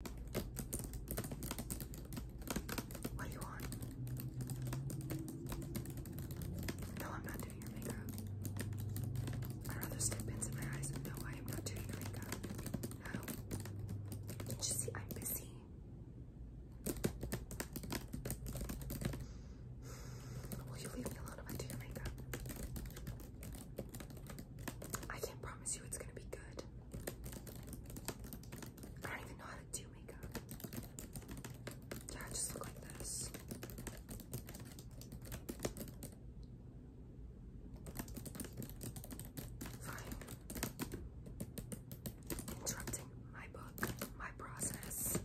What do you want? No, I'm not doing your makeup. I'd rather stick pins in my eyes than I am not doing your makeup. No. can see I'm busy? Will you leave me alone if I do your makeup? I can't promise you it's gonna be good. I don't even know how to do makeup. Yeah, just look like this. Interrupting my book, my process.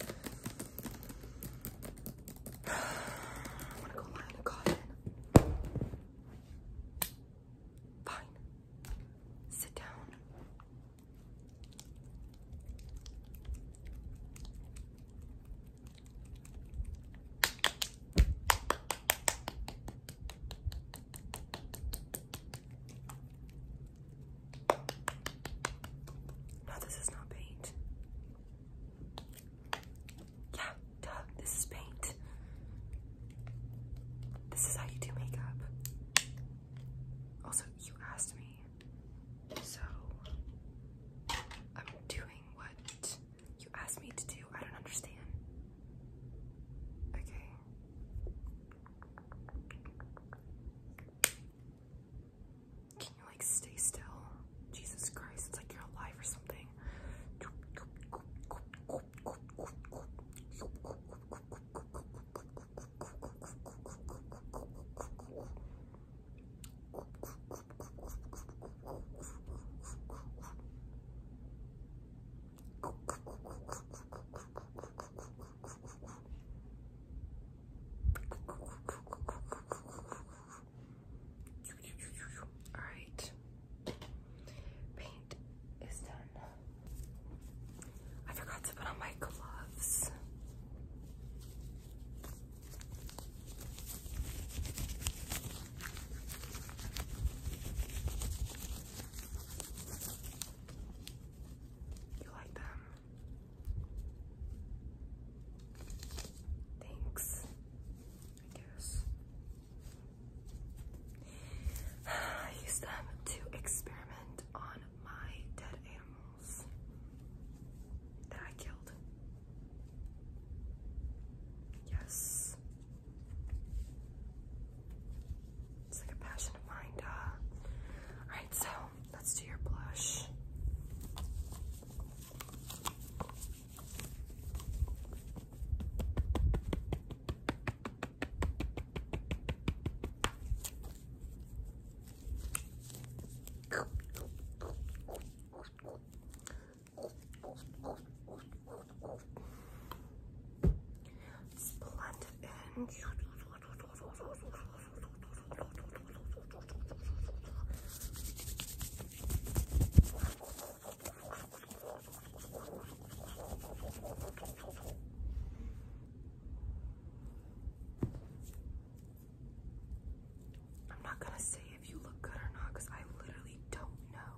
I want to go lie on the cotton. Fine. Sit down. No, this is not paint. Yeah, this is paint. This is how you do makeup. Also, you asked me, so I'm doing what you asked me to do. I don't understand. Okay. Can you like stay still? Jesus Christ, it's like you're alive or something. All right. Paint is done. I forgot to put on my gloves. You like them? Thanks, I guess. I use them to experiment on my dead animals that I killed. Yes. It's like a passion of mine, duh. Alright, so let's do your blush. Just blend I'm not gonna say if you look good or not because I literally don't know.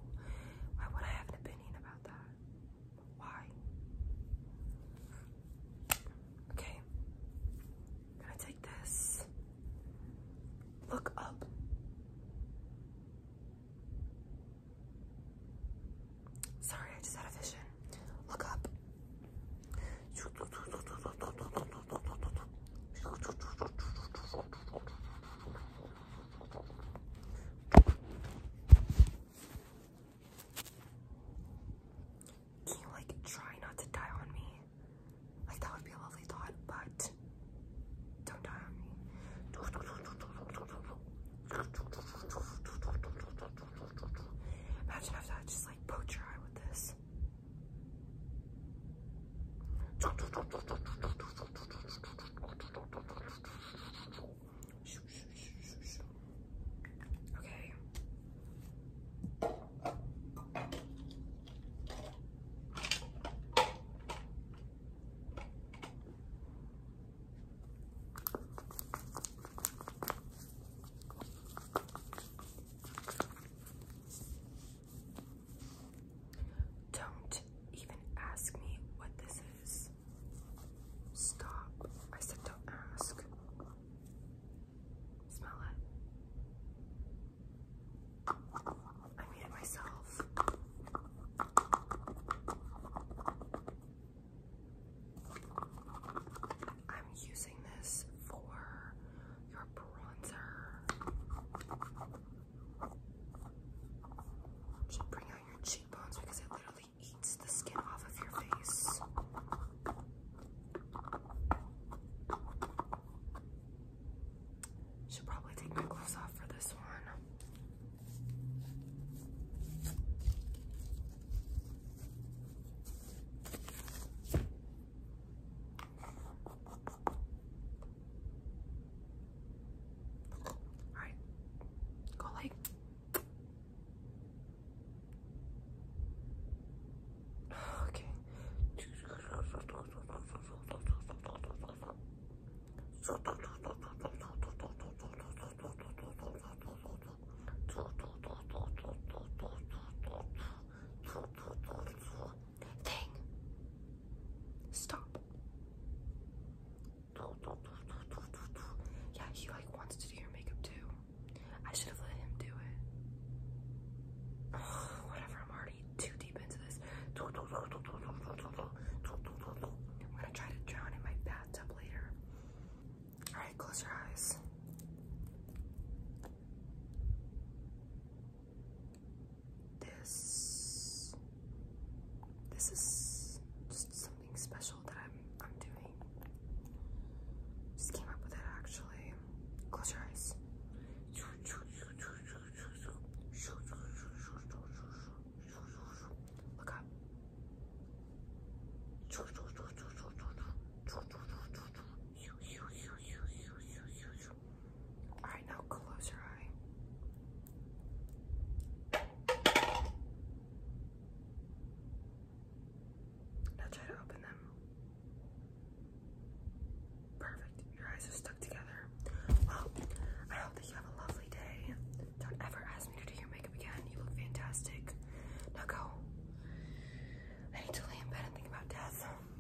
Why would I have an opinion about that? Why? Okay. gonna take this. Look up. Sorry, I just had a vision. Look up. Can you like try not to die on me? Like that would be a lovely thought, but don't die on me. Imagine if I just like poach your eye with this. Okay. Don't even ask me what this is stop. I said don't ask. Smell it. I made it myself. I'm using this for your bronzer. Should bring out your cheekbones because it literally eats the skin off of your face. Should probably take my gloves off for this one. Alright. Go like. Okay. Stop. Yeah, he like wants to do your makeup too. I should have let him do it. whatever, I'm already too deep into this. I'm gonna try to drown in my bathtub later. Alright, close your eyes this this is just something special that I'm I'm doing. Just came up with it actually. Close your eyes. Look up. All right, now close your eye. Now try to open them. Perfect. Your eyes are stuck together. Well, I hope that you have a lovely day. Don't ever ask me to do your makeup again. You look fantastic. Now go. I need to lay in bed and think about death.